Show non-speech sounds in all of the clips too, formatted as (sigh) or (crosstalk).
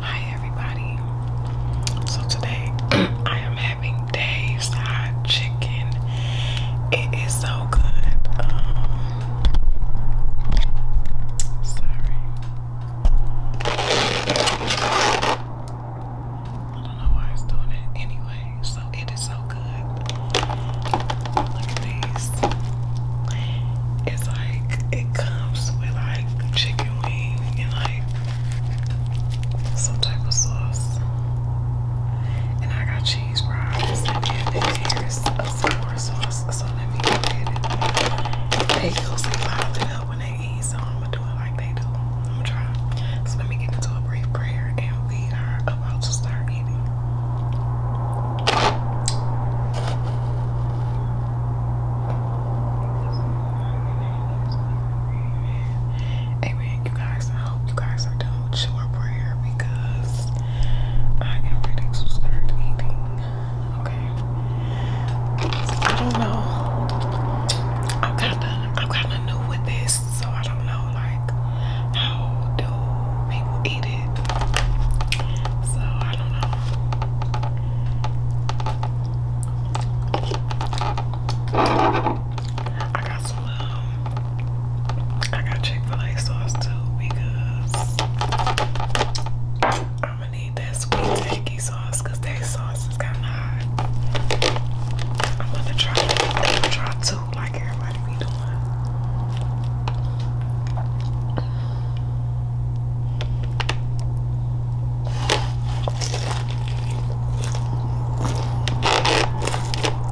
Hi everybody. So today (clears throat) I am having Dave's hot chicken. It is so good. Um, Sorry. I don't know why it's doing it anyway. So it is so good. Look at these. It's like it comes with like chicken wing and like some type of sauce. And I got cheese fries and there's a sauce. So let me go ahead and they usually pile it up when they eat, so I'm gonna do it like they do. I'm gonna try. So let me get into a brief prayer and we are about to start eating. Amen. You guys, I hope you guys are done with your prayer because I am reading, so start eating. Okay. I don't know. I'm kinda I'm kinda new with this, so I don't know like how do people eat it. So I don't know. I got some um, I got Chick-fil-A sauce too because I'm gonna need that sweet tangy sauce because that sauce is kind of hot. I'm gonna try to try two like everybody be doing.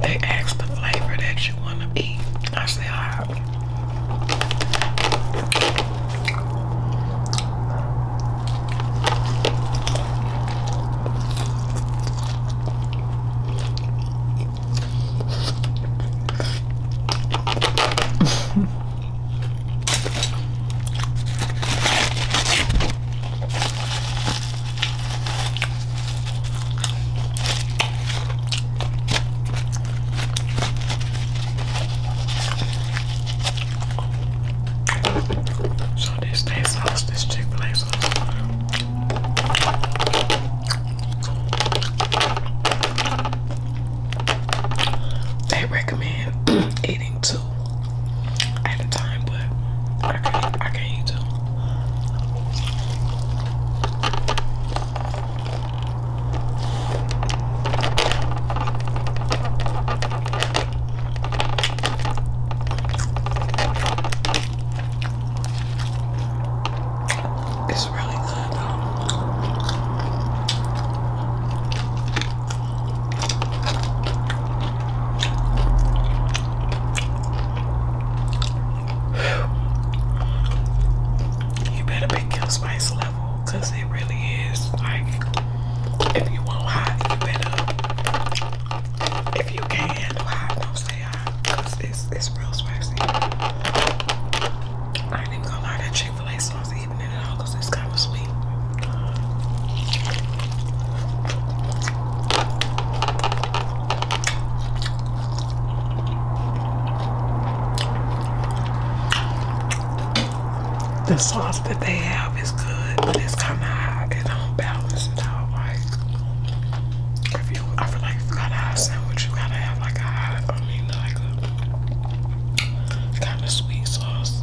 They asked the flavor that you want to eat. I said, hot. So this day sauce, this Chick-fil-A sauce. They recommend (clears throat) eating two at a time, but I can't, I can't tell. It's really good though. You better pick your spice level because it really is like if you want hot, you better if you can handle hot, don't stay hot it's, it's real spicy. ain't even gonna lie, that Chick fil A sauce, even in it all it's kind of sweet. The sauce that they have is good, but it's kind of hot. It don't balance it out. Like, if you, I feel like if you got a hot sandwich, you gotta have like a mean, like a kind of sweet sauce.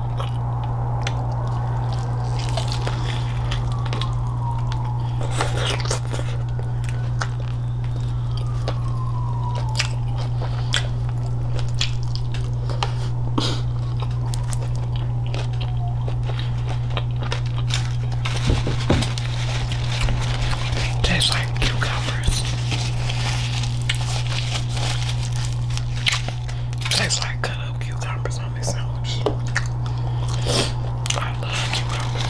Tastes like cucumbers. Tastes like cut uh, up cucumbers on this sandwich. I love cucumbers.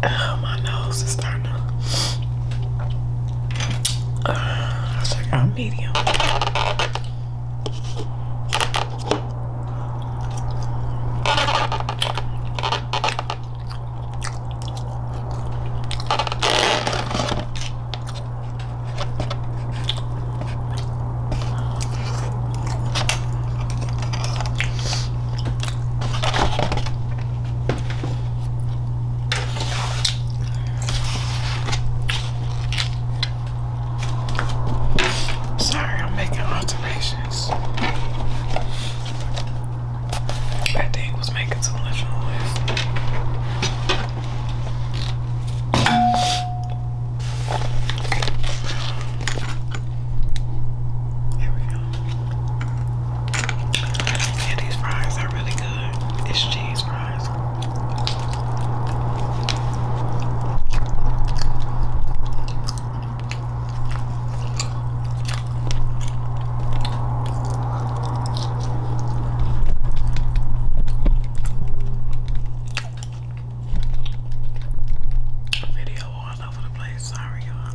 Oh, my nose is starting to. Uh, I think I'm medium. Sorry, I'm making alterations. That thing was making so noise. Here we go. Yeah, fries are really good. It's cheese fries. Video all over the place. Sorry, y'all.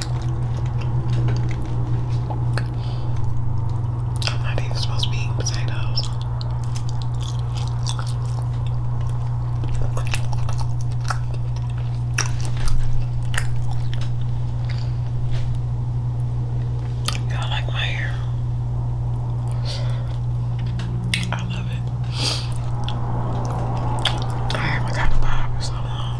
I'm not even supposed to be eating potatoes. Y'all like my hair? I love it. I haven't got a bob in so long.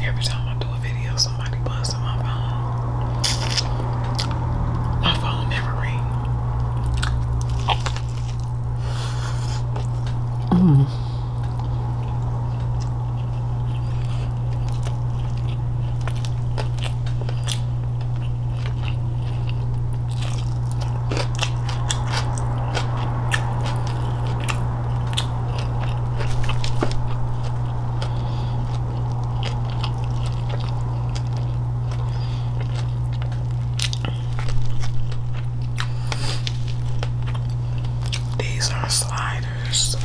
Every time I do a video, somebody busts on my phone. My phone never rang. Mm. These are sliders.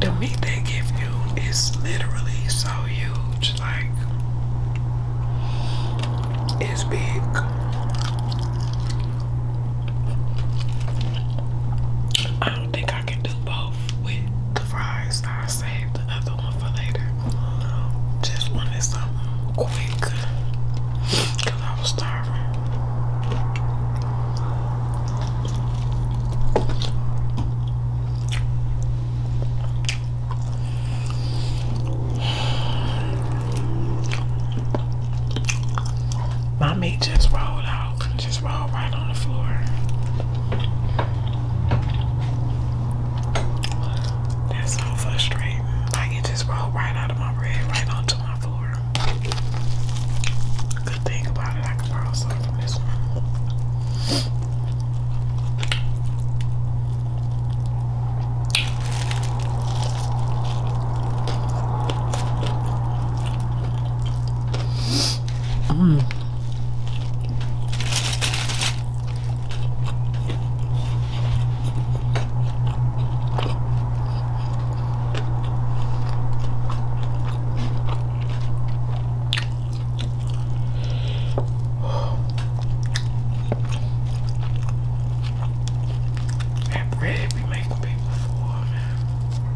The meat they give you is literally so huge, like it's big. I don't think I can do both with the fries. I'll the other one for later. Just wanted something quick I was starving. My just rolled out roll right on the floor. That's so frustrating. Like it just rolled right out of my bread, right onto my floor. Good thing about it, I can borrow some from this one. Mm. That bread be making people man.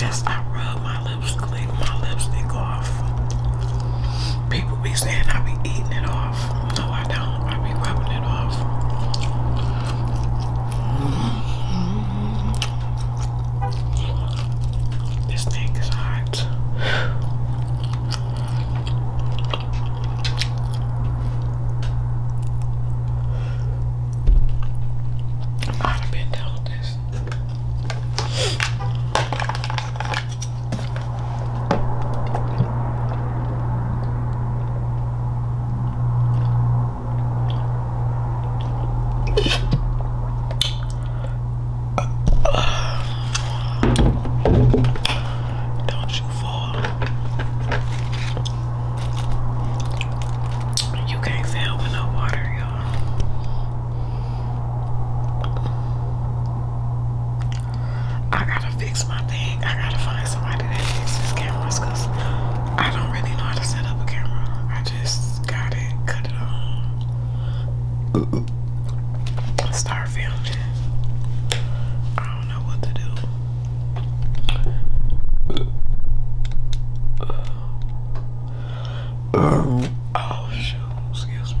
Yes, I rub my lips, clean my lipstick off. People be saying I be eating it off. No, I don't. I be rubbing it off. Mm-hmm. This thing is hot. I'd have been done this. Don't you fall. You can't fail with no water. I gotta fix my thing. I gotta find somebody that fixes cameras because I don't really know how to set up a camera. I just got it, cut it on, start filming. I don't know what to do. Um, oh, shoot. Excuse me.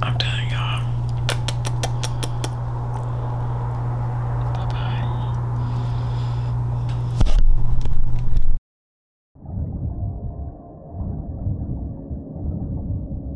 I'm telling y'all. Bye bye.